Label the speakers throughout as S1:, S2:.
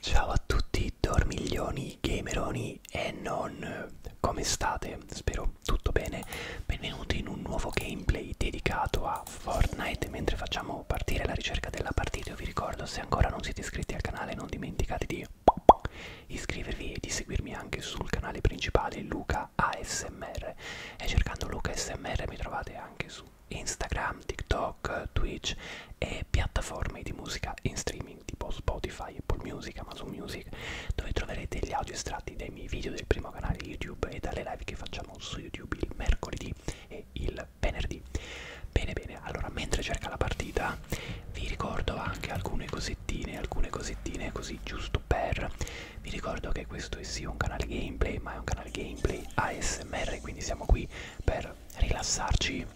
S1: Ciao a tutti dormiglioni, gameroni e non come state? Spero tutto bene. Benvenuti in un nuovo gameplay dedicato a Fortnite. Mentre facciamo partire la ricerca della partita, io vi ricordo se ancora non siete iscritti al canale non dimenticate di iscrivervi e di seguirmi anche sul canale principale Luca ASMR e cercando Luca ASMR mi trovate anche su Instagram, TikTok, Twitch e piattaforme di musica in streaming tipo Spotify, Apple Music, Amazon Music dove troverete gli audio estratti dai miei video del primo canale YouTube e dalle live che facciamo su YouTube il mercoledì e il venerdì. Bene bene, allora mentre cerca la partita vi ricordo anche alcune cosettine, alcune cosettine così giusto per vi ricordo che questo è sì un canale gameplay, ma è un canale gameplay ASMR, quindi siamo qui per rilassarci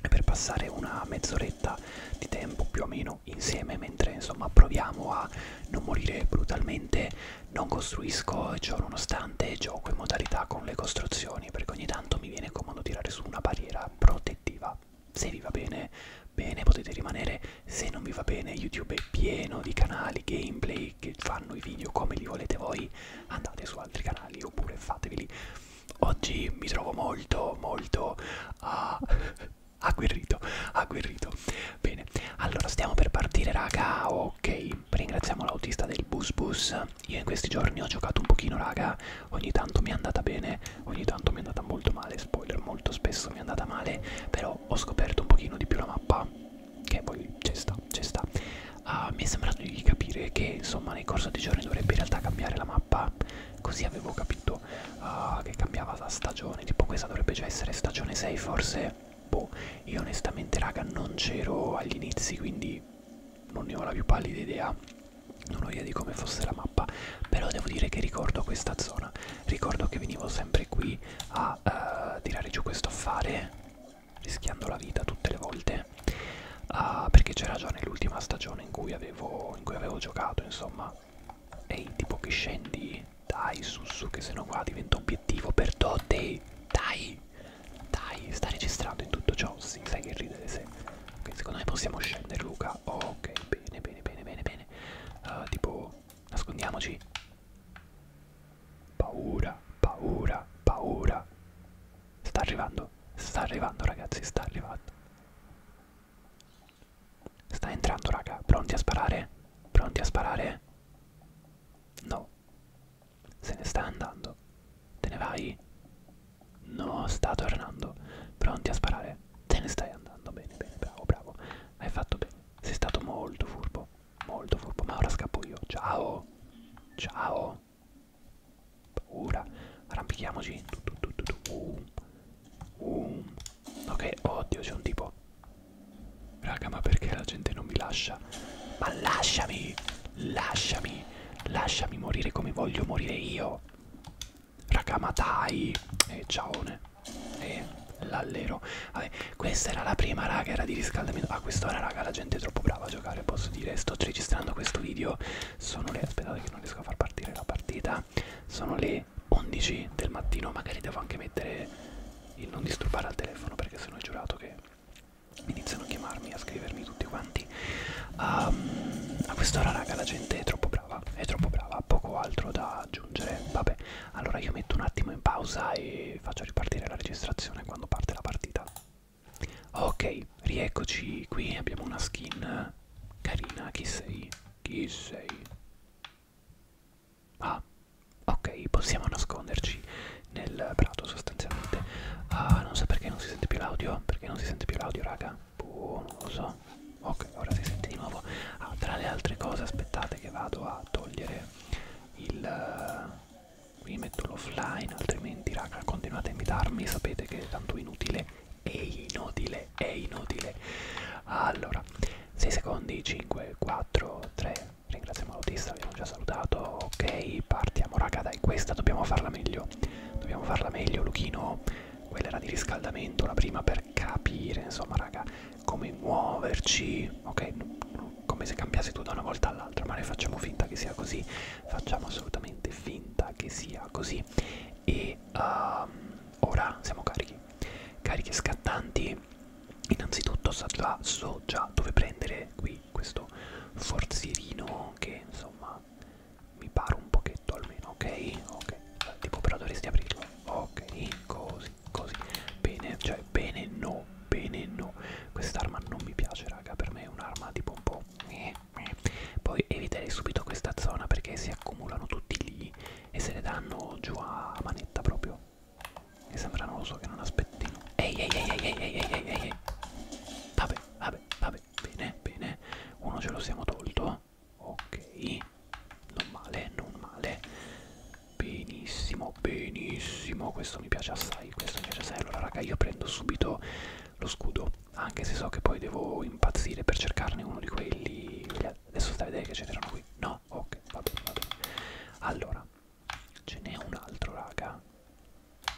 S1: e per passare una mezz'oretta di tempo più o meno insieme mentre insomma proviamo a non morire brutalmente, non costruisco ciò nonostante gioco in modalità con le costruzioni, perché ogni tanto mi viene comodo tirare su una barriera protettiva. Se vi va bene, bene potete rimanere, se non vi va bene YouTube è pieno di canali, gameplay che, che fanno i video come li volete voi andate su altri canali oppure fateveli oggi mi trovo molto molto uh, agguerrito agguerrito bene allora stiamo per partire raga ok ringraziamo l'autista del bus bus io in questi giorni ho giocato un pochino raga ogni tanto mi è andata bene ogni tanto mi è andata molto male spoiler molto spesso mi è andata male però ho scoperto un pochino di più la mappa che poi ci sta, ci sta. Uh, mi è sembrato di capire che insomma nel corso dei giorni dovrebbe in realtà cambiare la mappa, così avevo capito uh, che cambiava la stagione, tipo questa dovrebbe già essere stagione 6 forse, boh, io onestamente raga non c'ero agli inizi quindi non ne ho la più pallida idea, non ho idea di come fosse la mappa, però devo dire che ricordo questa zona, ricordo che venivo sempre qui a uh, tirare giù questo affare rischiando la vita tutte le volte uh, perché c'era già nell'ultima stagione in cui, avevo, in cui avevo giocato insomma ehi tipo che scendi dai su su che se no qua diventa obiettivo per Dotti dai dai sta registrando in tutto ciò sì sai che ridere se ok secondo me possiamo scendere Luca oh, ok bene bene bene bene bene uh, tipo nascondiamoci Paura, paura, paura. Sta arrivando, sta arrivando ragazzi, sta arrivando. Sta entrando raga, pronti a sparare? Pronti a sparare? No. Se ne sta andando. Te ne vai? No, sta tornando. Pronti a sparare? Te ne stai andando. Bene, bene, bravo, bravo. Hai fatto bene. Sei stato molto furbo. Molto furbo, ma ora scappo io. Ciao. Ciao. Paura. Arrampichiamoci. Uh. Uh. Ok, oddio, c'è un tipo. Raga, ma perché la gente non mi lascia? Ma lasciami! Lasciami! Lasciami morire come voglio morire io. Raga, ma dai. E eh, ciaone. E eh, l'allero. Vabbè, questa era la prima raga, era di riscaldamento. A ah, quest'ora, raga, la gente è troppo brava a giocare, posso dire. Sto registrando questo video. Sono le. Aspettate che non riesco a far partire la partita. Sono le 11 del mattino. Magari devo anche mettere il non disturbare al telefono, perché sennò ho giurato che iniziano a chiamarmi, a scrivermi tutti quanti. Um, a quest'ora, raga, la gente è troppo brava. È troppo brava, poco altro da aggiungere. Vabbè, allora io metto un attimo in pausa e e faccio ripartire la registrazione quando parte la partita. Ok, rieccoci qui, abbiamo una skin carina, chi sei? Chi sei? Ah, ok, possiamo nasconderci nel prato sostanzialmente. Ah, non so perché non si sente più l'audio, perché non si sente più l'audio raga. Boh, non lo so. Ok, ora si sente di nuovo. Ah, tra le altre cose aspettate che vado a togliere il qui metto l'offline altrimenti raga continuate a invitarmi sapete che è tanto inutile è inutile è inutile allora 6 secondi 5 4 3 ringraziamo l'autista abbiamo già salutato ok partiamo raga dai questa dobbiamo farla meglio dobbiamo farla meglio Luchino quella era di riscaldamento la prima per capire insomma raga come muoverci ok come se cambiasse tu da una volta all'altra, ma noi facciamo finta che sia così, facciamo assolutamente finta che sia così. E uh, ora siamo carichi. Cariche scattanti, innanzitutto so già, so già dove prendere qui questo forzierino che insomma mi pare un pochetto almeno, ok? Ok, tipo però dovresti aprirlo, ok, così, così, bene, cioè bene no bene no quest'arma non mi piace raga per me è un'arma tipo un po' poi eviterei subito questa zona perché si accumulano tutti lì e se le danno giù a manetta proprio mi sembra non lo so che non aspettino ehi ehi ehi ehi ehi ehi ehi ehi vabbè vabbè vabbè bene bene uno ce lo siamo tolto ok non male non male benissimo andiamo benissimo questo mi piace assai questo mi piace assai allora raga io prendo subito lo scudo anche se so che poi devo impazzire per cercarne uno di quelli adesso stai a vedere che ce n'erano qui no ok va bene va bene allora ce n'è un altro raga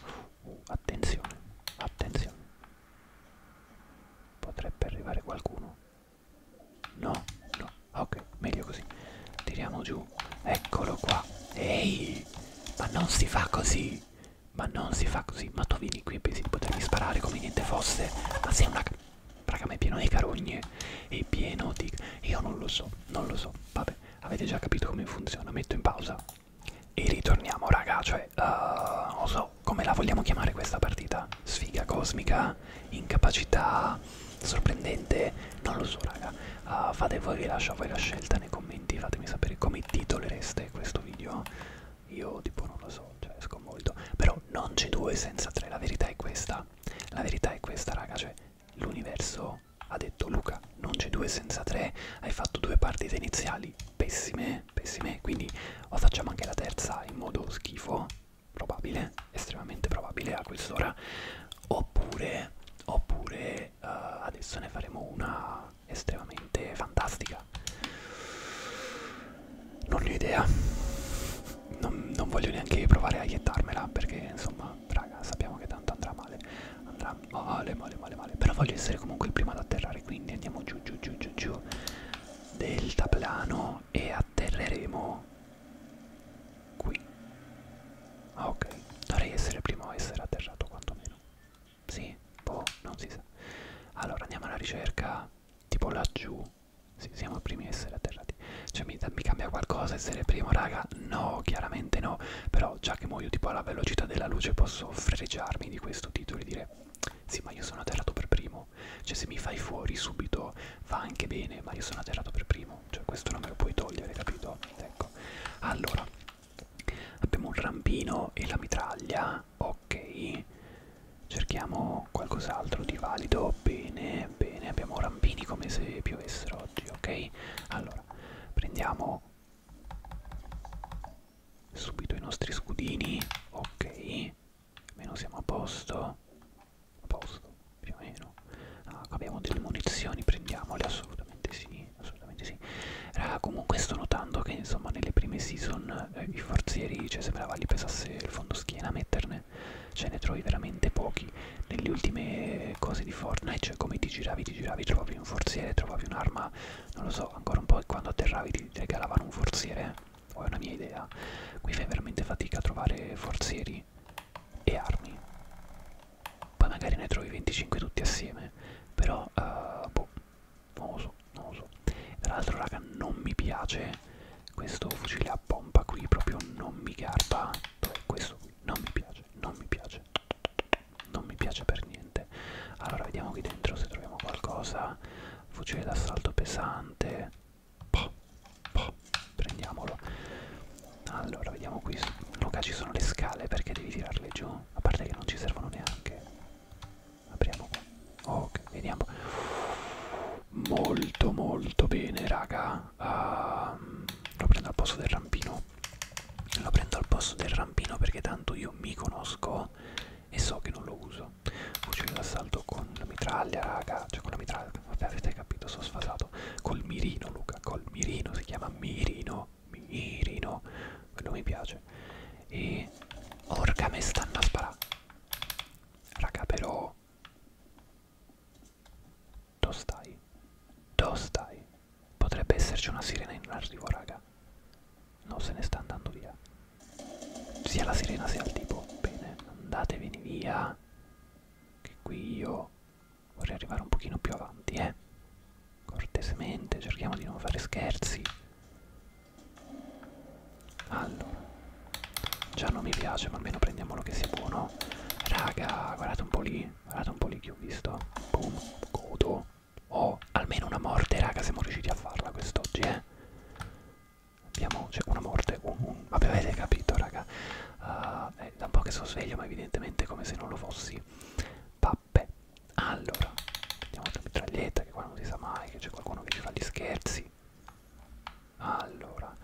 S1: uh, uh attenzione attenzione potrebbe arrivare qualcuno no no ok meglio così tiriamo giù eccolo qua ehi ma non si fa così. Ma non si fa così. Ma tu vieni qui e pensi di potermi sparare come niente fosse. Ma sei una... Raga, ma è pieno di carogne. È pieno di... Io non lo so. Non lo so. Vabbè, avete già capito come funziona. Metto in pausa. E ritorniamo, raga. Cioè, uh, eh, non so come la vogliamo chiamare questa partita. Sfiga cosmica. Incapacità sorprendente, non lo so raga uh, fate voi vi lascio a voi la scelta nei commenti fatemi sapere come titolereste questo video io tipo non lo so cioè esco molto però non c'è due senza tre la verità è questa la verità è questa raga cioè l'universo ha detto Luca non c'è due senza tre hai fatto due partite iniziali pessime pessime quindi o facciamo anche la terza in modo schifo probabile estremamente probabile a quest'ora oppure oppure eh, adesso ne faremo una estremamente fantastica non ne ho idea non, non voglio neanche provare a iettarmela perché insomma raga sappiamo che tanto andrà male andrà male male male male però voglio essere comunque il primo ad atterrare quindi andiamo giù giù giù giù giù deltaplano e atterreremo qui Ah ok, dovrei essere il primo a essere atterrato quantomeno. Sì, boh, non si sa. Allora andiamo alla ricerca, tipo laggiù. Sì, siamo i primi a essere atterrati. Cioè mi, mi cambia qualcosa essere primo raga? No, chiaramente no. Però già che muoio tipo alla velocità della luce posso fregiarmi di questo titolo e dire sì ma io sono atterrato per primo. Cioè se mi fai fuori subito va anche bene, ma io sono atterrato per primo. Cioè questo non me lo puoi togliere, capito? Ecco. Allora, Abbiamo un rampino e la mitraglia, ok. Cerchiamo qualcos'altro di valido, bene, bene. Abbiamo rampini come se piovessero oggi, ok. Allora, prendiamo subito i nostri scudini, ok. Almeno siamo a posto, a posto più o meno. Ah, abbiamo delle munizioni, prendiamole assolutamente sì assolutamente sì. Raga, comunque sto notando che insomma nelle prime season eh, i forzieri, cioè sembrava li pesasse il fondo schiena a metterne, cioè ne trovi veramente pochi. Nelle ultime cose di Fortnite, cioè come ti giravi, ti giravi, trovavi un forziere, trovavi un'arma, non lo so, ancora un po' e quando atterravi ti regalavano un forziere, o eh. è una mia idea. Qui fai veramente fatica a trovare forzieri e armi poi magari ne trovi 25 tutti assieme però uh, boh non lo so non lo so tra l'altro raga non mi piace questo fucile a pompa qui proprio non mi garba Dov'è questo qui non mi piace non mi piace non mi piace per niente allora vediamo qui dentro se troviamo qualcosa fucile d'assalto pesante Poh, poh, prendiamolo allora, vediamo qui. Luca, ci sono le scale perché devi tirarle giù. A parte che non ci servono neanche. Apriamo qua. Ok, vediamo. Molto, molto bene, raga. Uh, lo prendo al posto del rampino. Lo prendo al posto del rampino perché tanto io mi conosco e so che non lo uso. Fucile d'assalto con la mitraglia, raga. Cioè con la mitraglia. Vabbè, avete capito, sono sfasato. Col mirino, Luca. Col mirino, si chiama mirino no, mirino, non mi piace. E orca me stanno a sparare. Raga però... Dove stai? Dove stai? Potrebbe esserci una sirena in arrivo, raga. No, se ne sta andando via. Sia la sirena sia il tipo. Bene, andatevene via. Che qui io vorrei arrivare un pochino più avanti eh cortesemente cerchiamo di non fare scherzi allora già non mi piace ma almeno prendiamolo che sia buono raga guardate un po' lì guardate un po' lì che ho visto boom godo oh almeno una morte raga siamo riusciti a farla quest'oggi eh abbiamo cioè, una morte un, un, vabbè avete capito raga uh, è da un po' che sono sveglio ma evidentemente come se non lo fossi va tappe allora mettiamo la mitraglietta che qua non si sa mai che c'è qualcuno che ci fa gli scherzi allora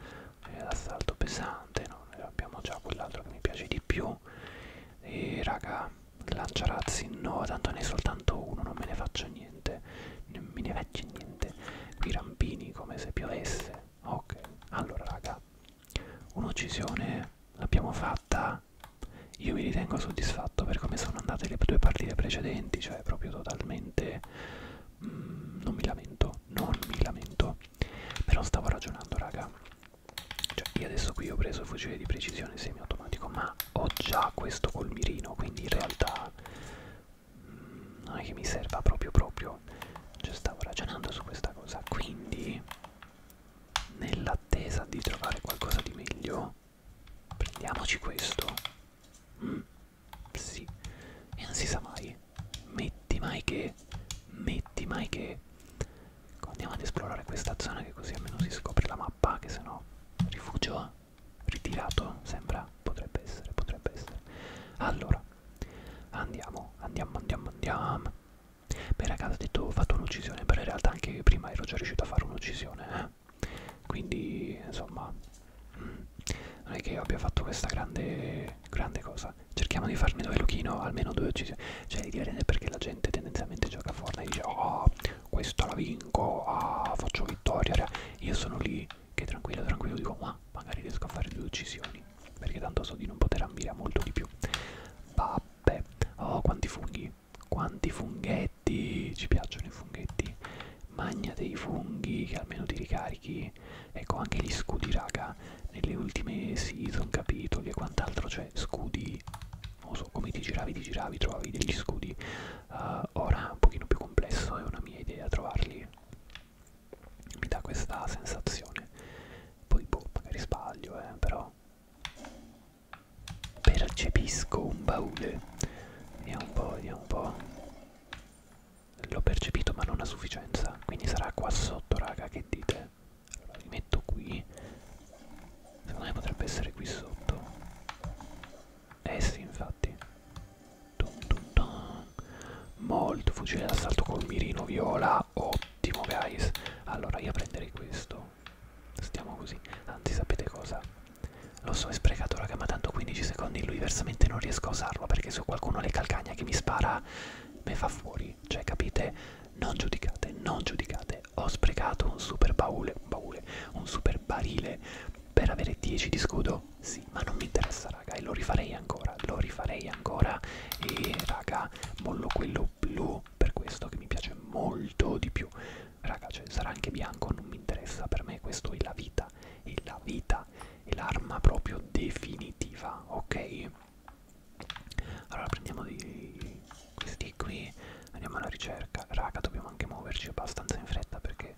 S1: l'assalto pesante no? abbiamo già quell'altro che mi piace di più e raga lanciarazzi no tanto ne è soltanto uno non me ne faccio niente non me ne faccio niente qui rampini come se piovesse ok allora raga Un'uccisione l'abbiamo fatta. Io mi ritengo soddisfatto per come sono andate le due partite precedenti, cioè proprio totalmente mm, non mi lamento, non mi lamento. Però stavo ragionando, raga. Cioè, io adesso qui ho preso il fucile di precisione semiautomatico, ma ho già questo col mirino, quindi in realtà mm, non è che mi serva proprio proprio. Cioè, stavo ragionando su questa cosa, quindi nell'attesa di trovare qualcosa di meglio prendiamoci questo mm, sì e non si sa mai metti mai che metti mai che andiamo ad esplorare questa zona che così almeno si scopre la mappa che sennò rifugio ritirato sembra potrebbe essere potrebbe essere allora andiamo andiamo andiamo andiamo Beh ragazzi, ho detto ho fatto un'uccisione, però in realtà anche prima ero già riuscito a fare un'uccisione. Eh. Quindi, insomma, mm, non è che io abbia fatto questa grande, grande cosa. Cerchiamo di farmi dove Luchino almeno due uccisioni. Cioè, l'idea è perché la gente tendenzialmente gioca a Fortnite e dice oh, questa la vinco, ah, faccio vittoria. Io sono lì che tranquillo, tranquillo dico ma magari riesco a fare due uccisioni perché tanto so di non poter ambire a molto di più. Bah, Beh, oh quanti funghi, quanti funghetti, ci piacciono i funghetti, magna dei funghi che almeno ti ricarichi, ecco anche gli scudi raga, nelle ultime season capitoli e quant'altro c'è, scudi, non lo so, come ti giravi, ti giravi, trovavi degli scudi, uh, ora un pochino più complesso è una mia idea trovarli, mi dà questa sensazione, poi boh, magari sbaglio eh, però percepisco un baule vediamo un po' vediamo un po' l'ho percepito ma non a sufficienza quindi sarà qua sotto raga che dite allora li metto qui secondo me potrebbe essere qui sotto eh sì infatti dun dun dun. molto fucile d'assalto col mirino viola ottimo guys allora io prenderei questo stiamo stiamo così anzi sapete cosa lo so è sprecato raga ma tanto 15 secondi lui versamente non riesco a usarlo perché se qualcuno le calcagna che mi spara me fa fuori cioè capite non giudicate non giudicate ho sprecato un super baule un baule un super barile per avere 10 di scudo sì ma non mi interessa raga e lo rifarei ancora lo rifarei ancora e raga mollo quello blu sono per questo che mi piace molto di più raga cioè, sarà anche bianco non mi interessa per me questo è la vita è la vita è l'arma proprio definitiva ok allora prendiamo di questi qui andiamo alla ricerca raga dobbiamo anche muoverci abbastanza in fretta perché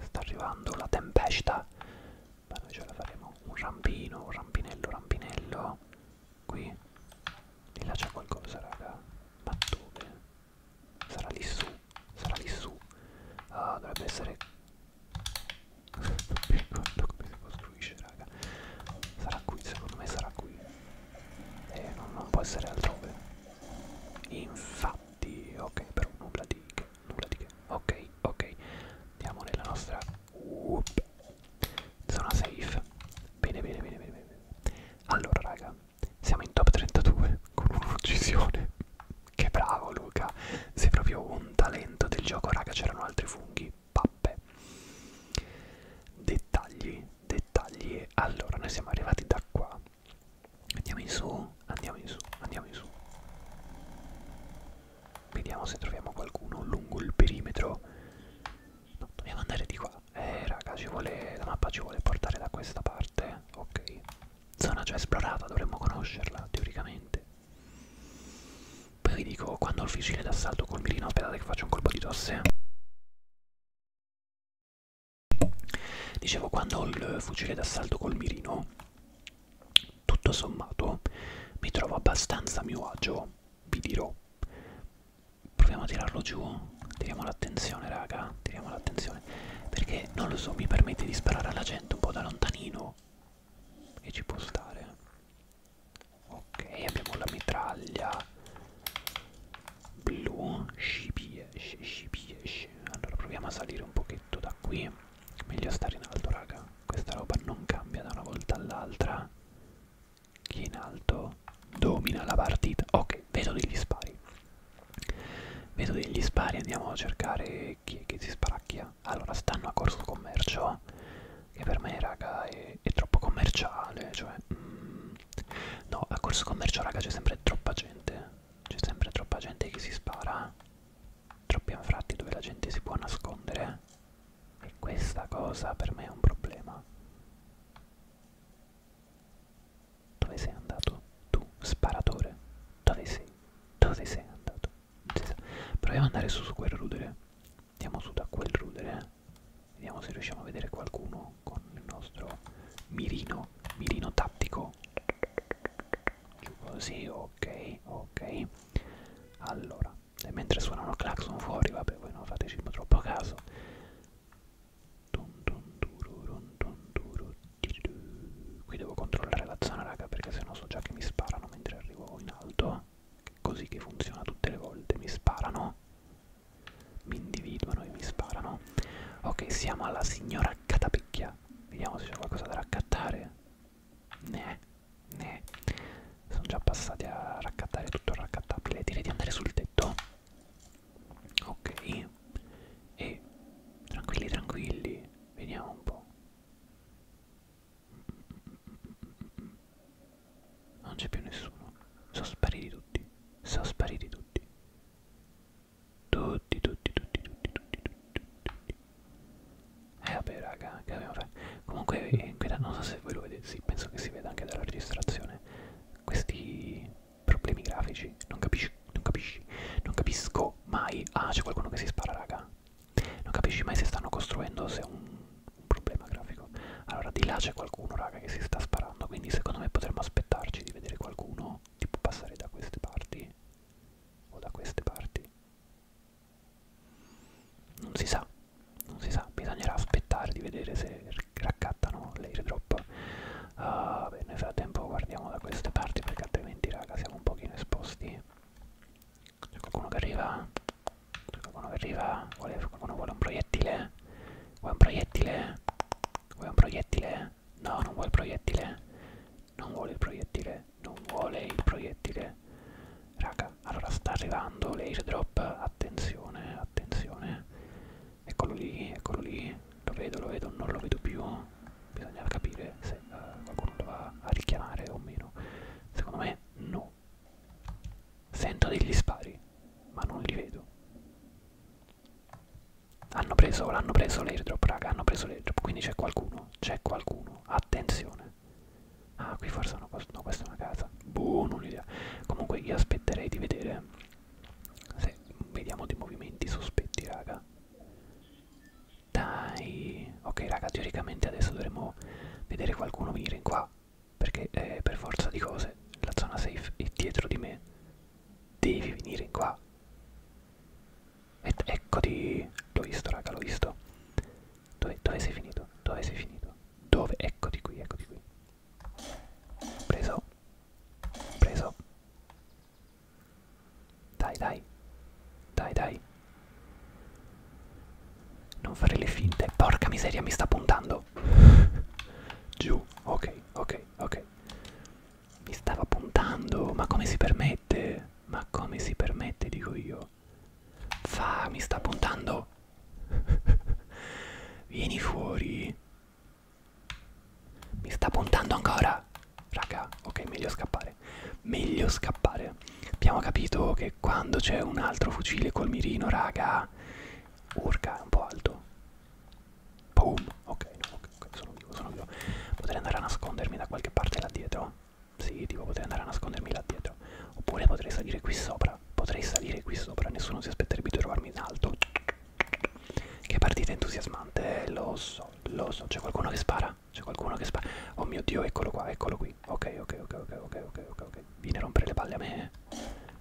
S1: sta arrivando la tempesta ma noi ce la faremo un rampino un rampinello rampinello Qui Lì là c'è qualcosa raga Ma dove? Sarà lì su Sarà lì su Ah dovrebbe essere Non mi ricordo come si costruisce raga Sarà qui secondo me sarà qui eh, non, non può essere altrove Infatti Ok però nulla di che Nulla di che Ok ok Andiamo nella nostra Whoop. Zona safe. Bene, bene, bene, bene, bene. Allora, raga, siamo in top 32 con un'uccisione. Che bravo, Luca. Sei proprio un talento del gioco, raga. C'erano altri funghi. Pappe. Dettagli, dettagli. Allora, noi siamo arrivati da qua. Andiamo in su, andiamo in su, andiamo in su. Vediamo se troviamo qualcuno lungo il perimetro no, dobbiamo andare di qua eh raga ci vuole la mappa ci vuole portare da questa parte ok zona già esplorata dovremmo conoscerla teoricamente poi vi dico quando ho il fucile d'assalto col mirino aspettate che faccio un colpo di tosse dicevo quando ho il fucile d'assalto col mirino tutto sommato mi trovo abbastanza a mio agio vi dirò proviamo a tirarlo giù tiriamo l'attenzione raga tiriamo l'attenzione perché non lo so mi permette di sparare alla gente un po' da lontanino e ci può stare ok abbiamo la mitraglia blu sci piesce sci piesce allora proviamo a salire un pochetto da qui meglio stare in alto raga questa roba non cambia da una volta all'altra chi in alto domina la partita ok vedo degli spari vedo degli spari andiamo a cercare chi è che si sparacchia allora stanno a corso commercio che per me raga è, è troppo commerciale cioè mm, no a corso commercio raga c'è sempre troppa gente c'è sempre troppa gente che si spara troppi anfratti dove la gente si può nascondere e questa cosa per me è un problema. Dove sei andato? Tu, sparatore. Dove sei? Dove sei andato? Proviamo ad andare su, su quel rudere. Andiamo su da quel rudere. Eh. Vediamo se riusciamo a vedere qualcuno con il nostro mirino, mirino tattico. Giù così, ok, ok. Allora, e mentre suonano il clacson fuori vabbè voi non fateci troppo caso qui devo controllare la zona raga perché sennò so già che mi sparano mentre arrivo in alto così che funziona tutte le volte mi sparano mi individuano e mi sparano ok siamo alla signora catapicchia vediamo se c'è qualcosa da raccattare ne ne sono già passati a raccattare tutto il raccattabile direi di andare sul tetto ok e tranquilli tranquilli vediamo un po' non c'è più nessuno sono spariti tutti sono spariti tutti tutti tutti tutti tutti tutti tutti tutti eh vabbè raga che dobbiamo fare comunque in eh, quella, non so se voi lo vedete sì penso che si veda anche dalla registrazione questi problemi grafici. Non capisci, non capisci, non capisco mai. Ah, c'è qualcuno che si spara, raga. Non capisci mai se stanno costruendo se è un, un problema grafico. Allora, di là c'è qualcuno, raga, che si sta sparando. Quindi, secondo me, potremmo aspettarci di vedere qualcuno tipo passare da queste parti o da queste parti. Non si sa non si sa, bisognerà aspettare di vedere se raccattano l'airdrop uh, ah, beh, nel frattempo guardiamo da queste parti perché altrimenti raga siamo un pochino esposti c'è qualcuno che arriva c'è qualcuno che arriva vuole, qualcuno vuole un proiettile vuoi un proiettile vuoi un proiettile no non vuole il proiettile non vuole il proiettile non vuole il proiettile raga allora sta arrivando l'airdrop attenzione, attenzione, eccolo lì, eccolo lì, lo vedo, lo vedo, non lo vedo più, bisogna capire se uh, qualcuno lo va a richiamare o meno, secondo me no, sento degli spari, ma non li vedo. Hanno preso, l'hanno preso l'airdrop, raga, hanno preso l'airdrop, quindi c'è qualcuno, c'è qualcuno, attenzione. Ah, qui forse hanno no, questa è una casa qualcosa boh non l'idea comunque io aspetterei di vedere se vediamo dei movimenti sospetti raga dai ok raga teoricamente adesso dovremmo vedere qualcuno venire in qua perché eh, per forza di cose la zona safe è dietro di me devi venire in qua ed eccoti l'ho visto raga l'ho visto dove, dove sei finito dove sei finito dove eccoti qui eccoti qui Preso. Preso. Dai, dai. Dai, dai. Non fare le finte. Porca miseria, mi sta puntando. Giù. Ok, ok, ok. Mi stava puntando. Ma come si permette? Ma come si permette, dico io. Fa, mi sta puntando. Vieni fuori. Mi sta puntando ancora. Raga, ok, meglio scappare. Meglio scappare. Abbiamo capito che quando c'è un altro fucile col mirino, raga, urca, è un po' alto. Boom. Ok, no, ok, okay sono vivo, sono vivo. Potrei andare a nascondermi da qualche parte là dietro. Sì, tipo potrei andare a nascondermi là dietro. Oppure potrei salire qui sopra potrei salire qui sopra, nessuno si aspetterebbe di trovarmi in alto. Che partita entusiasmante, eh, lo so, lo so. C'è qualcuno che spara? C'è qualcuno che spara? Oh mio dio, eccolo qua, eccolo qui. Ok, ok, ok, ok, ok, ok, ok, ok. Vieni a rompere le palle a me.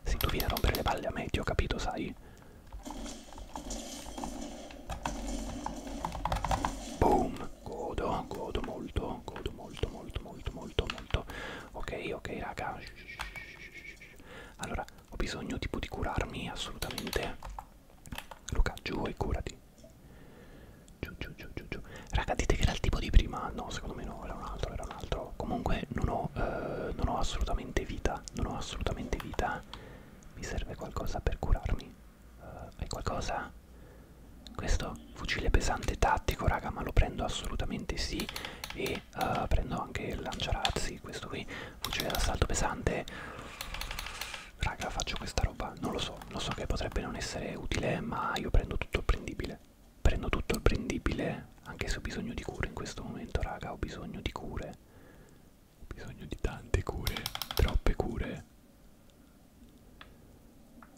S1: Sì, tu vieni a rompere le palle a me, ti ho capito, sai. Boom! Godo, godo molto, godo molto, molto, molto, molto, molto. Ok, ok, raga. Shh, shh, shh, shh. Allora, ho bisogno tipo di curarmi assolutamente. Luca, giù e curati. Giù, giù, giù, giù, giù. Raga, dite che era il tipo di prima. No, secondo me no, era un altro, era un altro. Comunque non ho, eh, non ho assolutamente vita. Non ho assolutamente vita. Mi serve qualcosa per curarmi. Uh, hai qualcosa? Questo fucile pesante tattico, raga, ma lo prendo assolutamente sì. E Uh, prendo anche il lanciarazzi, questo qui, fucile d'assalto pesante. Raga, faccio questa roba, non lo so, lo so che potrebbe non essere utile, ma io prendo tutto il prendibile. Prendo tutto il prendibile, anche se ho bisogno di cure in questo momento, raga, ho bisogno di cure. Ho bisogno di tante cure, troppe cure.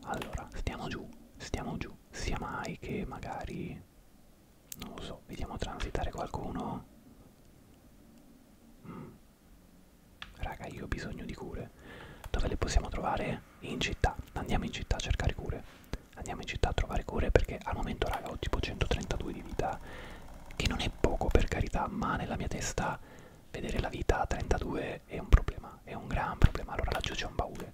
S1: Allora, stiamo giù, stiamo giù, sia mai che magari quindi non lo so, vediamo transitare qualcuno. Mm. Raga, io ho bisogno di cure. Dove le possiamo trovare? In città. Andiamo in città a cercare cure. Andiamo in città a trovare cure perché al momento, raga, ho tipo 132 di vita, che non è poco per carità, ma nella mia testa vedere la vita a 32 è un problema, è un gran problema. Allora laggiù c'è un baule.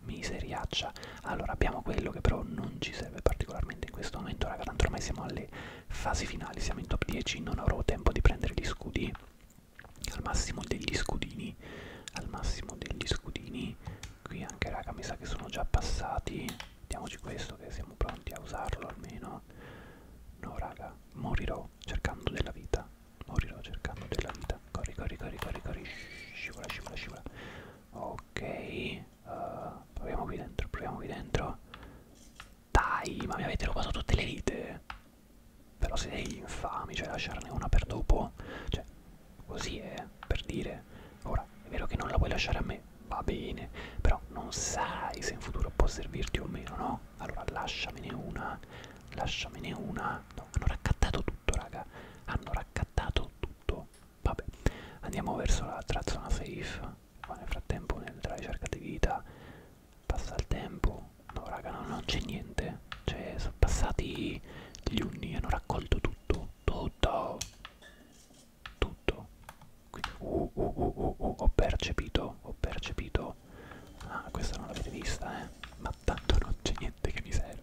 S1: miseriaccia allora abbiamo quello che però non ci serve particolarmente in questo momento raga tanto ormai siamo alle fasi finali siamo in top 10 non avrò tempo di prendere gli scudi al massimo degli scudini al massimo degli scudini qui anche raga mi sa che sono già passati diamoci questo che siamo pronti a usarlo almeno no raga morirò cercando della vita morirò cercando della vita corri corri corri corri corri scivola scivola scivola ok Uh, proviamo qui dentro, proviamo qui dentro. Dai, ma mi avete rubato tutte le vite. Però siete degli infami, cioè lasciarne una per dopo. Cioè, così è, per dire. Ora, è vero che non la vuoi lasciare a me, va bene. Però non sai se in futuro può servirti o meno, no? Allora lasciamene una, lasciamene una. No, hanno raccattato tutto, raga. Hanno raccattato tutto. Vabbè, andiamo verso l'altra zona safe. Qua nel frattempo nella ricerca di vita passa il tempo. No raga, no, non c'è niente. Cioè, sono passati gli unni, hanno raccolto tutto. Tutto. Tutto. Quindi, uh, uh, uh, uh, uh, uh, ho percepito, ho percepito. Ah, questa non l'avete vista, eh. Ma tanto non c'è niente che mi serve.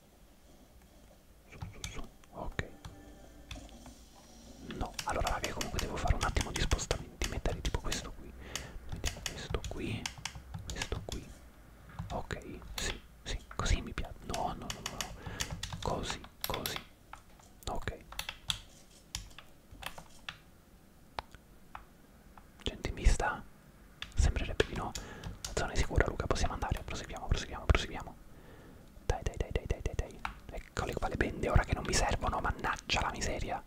S1: su su su ok no allora raga comunque devo fare un attimo di spostamenti mettere tipo questo qui mettiamo questo qui questo qui ok sì sì così mi piace no no no no così così ok gente mi sta sembrerebbe di no la zona è sicura Luca possiamo andare proseguiamo proseguiamo proseguiamo dai, dai, dai, dai, dai, dai, dai. Eccole qua le bende, ora che non mi servono, mannaggia la miseria.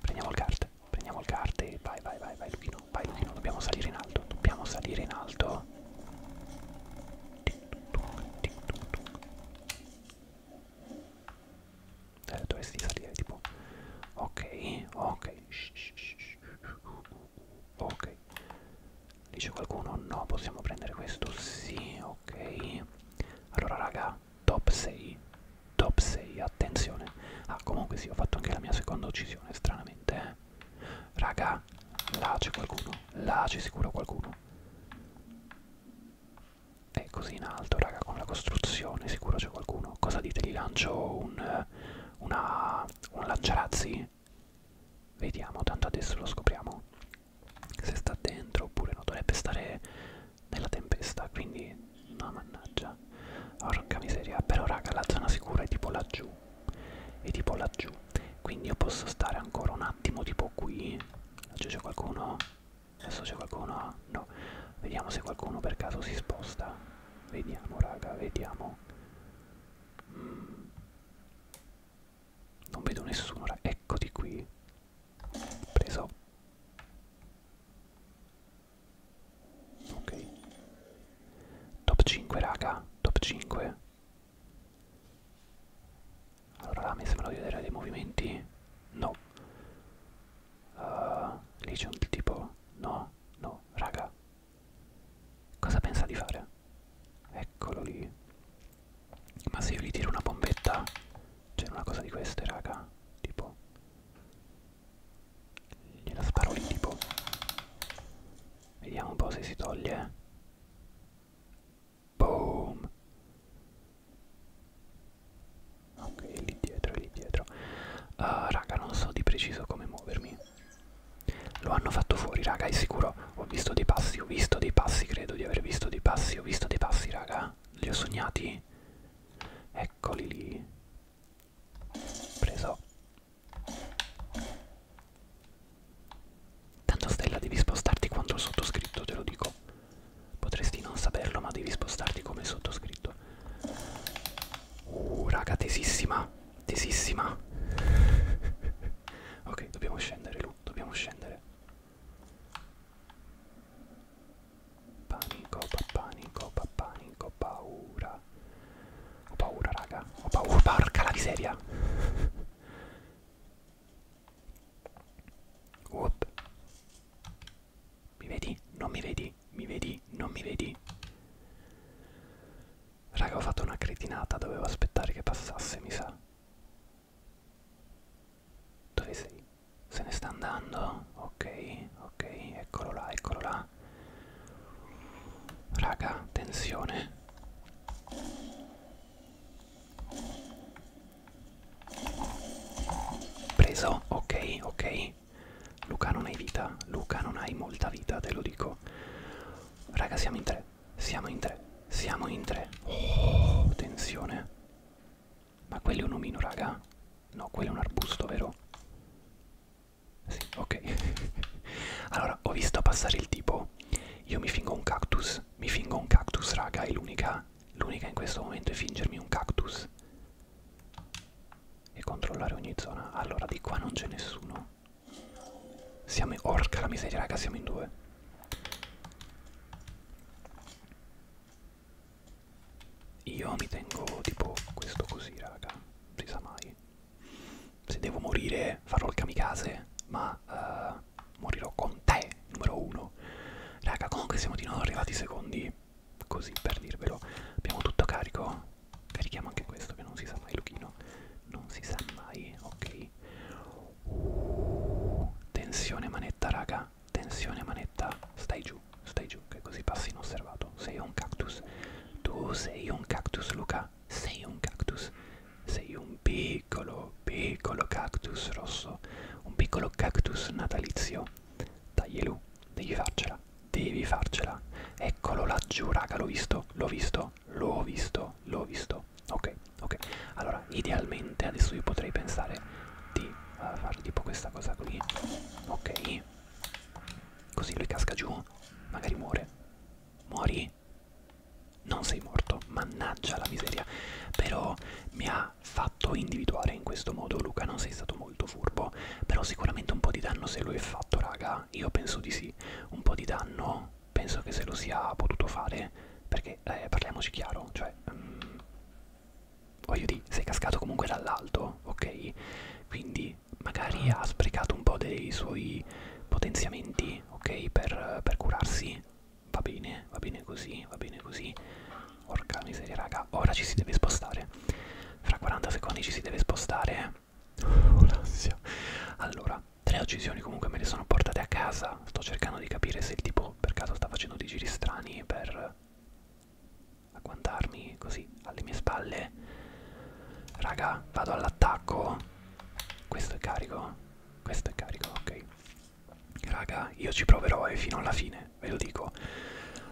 S1: Prendiamo il carte, prendiamo il carte. Vai, vai, vai, vai, Luchino, vai, Luchino, dobbiamo salire in alto, dobbiamo salire in alto. Eh, dovresti salire tipo... Ok, ok. Shh, shh, shh ok dice qualcuno no possiamo prendere questo sì ok allora raga top 6 top 6 attenzione ah comunque sì ho fatto anche la mia seconda uccisione stranamente eh. raga là c'è qualcuno là c'è sicuro qualcuno è così in alto raga con la costruzione sicuro c'è qualcuno cosa dite gli lancio un una un lanciarazzi bene vediamo tanto adesso lo scopriamo se sta dentro oppure no dovrebbe stare nella tempesta quindi no mannaggia porca miseria però raga la zona sicura è tipo laggiù è tipo laggiù quindi io posso stare ancora un attimo tipo qui laggiù c'è qualcuno adesso c'è qualcuno no vediamo se qualcuno per caso si sposta vediamo raga vediamo mm. Non vedo nessuno, eccoti qui. Preso. Ok. Top 5, raga. Top 5. Allora, là mi sembrano di vedere dei movimenti. No. Uh, lì c'è un tipo. No, no, raga. Cosa pensa di fare? Eccolo lì. Ma se io gli tiro una bombetta, c'era una cosa di queste, raga. Tipo. Gliela sparo lì, tipo. Vediamo un po' se si toglie. Boom. Ok, lì dietro, lì dietro. Uh, raga, non so di preciso come muovermi. Lo hanno fatto fuori, raga, è sicuro. Ho visto dei passi, ho visto dei passi, credo di aver visto dei passi, ho visto dei passi, raga. Li ho sognati. Eccoli lì. Preso. Tanto Stella devi spostarti quanto il sottoscritto, te lo dico. Potresti non saperlo, ma devi spostarti come il sottoscritto. Uh, raga, tesissima. Tesissima. ok, dobbiamo scendere più, dobbiamo scendere. Panico, panico, panico, paura. Ho paura, raga. Ho paura, porca la miseria. Whoop. Mi vedi? Non mi vedi? Mi vedi? Non mi vedi? Raga, ho fatto una cretinata, dovevo aspettare che passasse, mi sa. Dove sei? Se ne sta andando? Ok, ok, eccolo là, eccolo là. Raga, tensione. Preso, ok, ok. Luca non hai vita, Luca non hai molta vita, te lo dico. Raga, siamo in tre. Siamo in tre. Siamo in tre. Oh, tensione. Ma quello è un omino, raga? No, quello è un arbusto, vero? Sì, ok. allora, ho visto passare il tipo. Io mi fingo un cactus. Mi fingo un cactus, raga. È l'unica. L'unica in questo momento è fingermi un cactus. E controllare ogni zona. Allora, di qua non c'è nessuno. Siamo in... Orca la miseria, raga, siamo in due. Io mi tengo tipo questo così, raga, si sa mai. Se devo morire farò il kamikaze, ma uh, morirò con te, numero uno. Raga, comunque siamo di nuovo arrivati secondi, così per dirvelo. Abbiamo tutto carico. Carichiamo anche questo che non si sa mai, Luchino. Non si sa mai, ok. Uh, tensione manetta raga, tensione manetta, stai giù, stai giù, che così passi inosservato. Sei un cactus, tu sei un cactus Luca, sei un cactus, sei un piccolo, piccolo cactus rosso, un piccolo cactus natalizio. Taglielu, devi farcela, devi farcela. Eccolo laggiù raga, l'ho visto, l'ho visto, l'ho visto, l'ho visto. Ok, ok. Allora, idealmente adesso io potrei pensare di uh, fare tipo questa cosa qui. Ok. Così lui casca giù, magari muore. Muori? Non sei morto, mannaggia la miseria. Però mi ha fatto individuare in questo modo, Luca, non sei stato molto furbo. Però sicuramente un po' di danno se lo è fatto, raga. Io penso di sì. Un po' di danno penso che se lo sia potuto fare perché eh, parliamoci chiaro, cioè um, voglio dire, sei cascato comunque dall'alto, ok? Quindi magari ha sprecato un po' dei suoi potenziamenti, ok? Per, per curarsi, va bene, va bene così, va bene così. Porca miseria, raga, ora ci si deve spostare. Fra 40 secondi ci si deve spostare. Oh, l'ansia. Allora, Tre uccisioni comunque me le sono portate a casa. Sto cercando di capire se il tipo per caso sta facendo dei giri strani per agguantarmi così alle mie spalle. Raga, vado all'attacco. Questo è carico. Questo è carico, ok. Raga, io ci proverò e eh, fino alla fine, ve lo dico.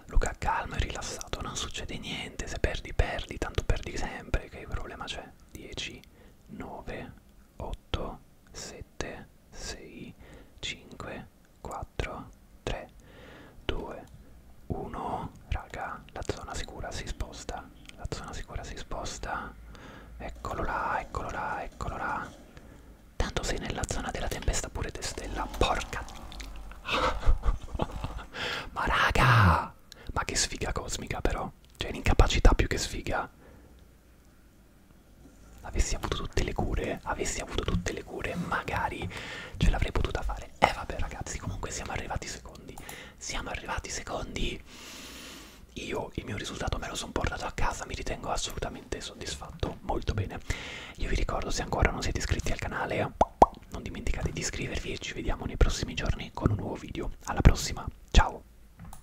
S1: Luca, calmo e rilassato, non succede niente. Se perdi, perdi, tanto perdi sempre. Che problema c'è? 10, 9 8, 7, 6, 5, 4, 3, 2, 1. Raga, la zona sicura si sposta. La zona sicura si sposta. Eccolo là, eccolo là, eccolo là. Tanto sei nella zona della tempesta pure te stella. Porca. Ma raga! Ma che sfiga cosmica però. Cioè l'incapacità più che sfiga avessi avuto tutte le cure, avessi avuto tutte le cure, magari ce l'avrei potuta fare. E eh, vabbè ragazzi, comunque siamo arrivati secondi. Siamo arrivati secondi. Io il mio risultato me lo sono portato a casa, mi ritengo assolutamente soddisfatto, molto bene. Io vi ricordo se ancora non siete iscritti al canale, non dimenticate di iscrivervi e ci vediamo nei prossimi giorni con un nuovo video. Alla prossima, ciao!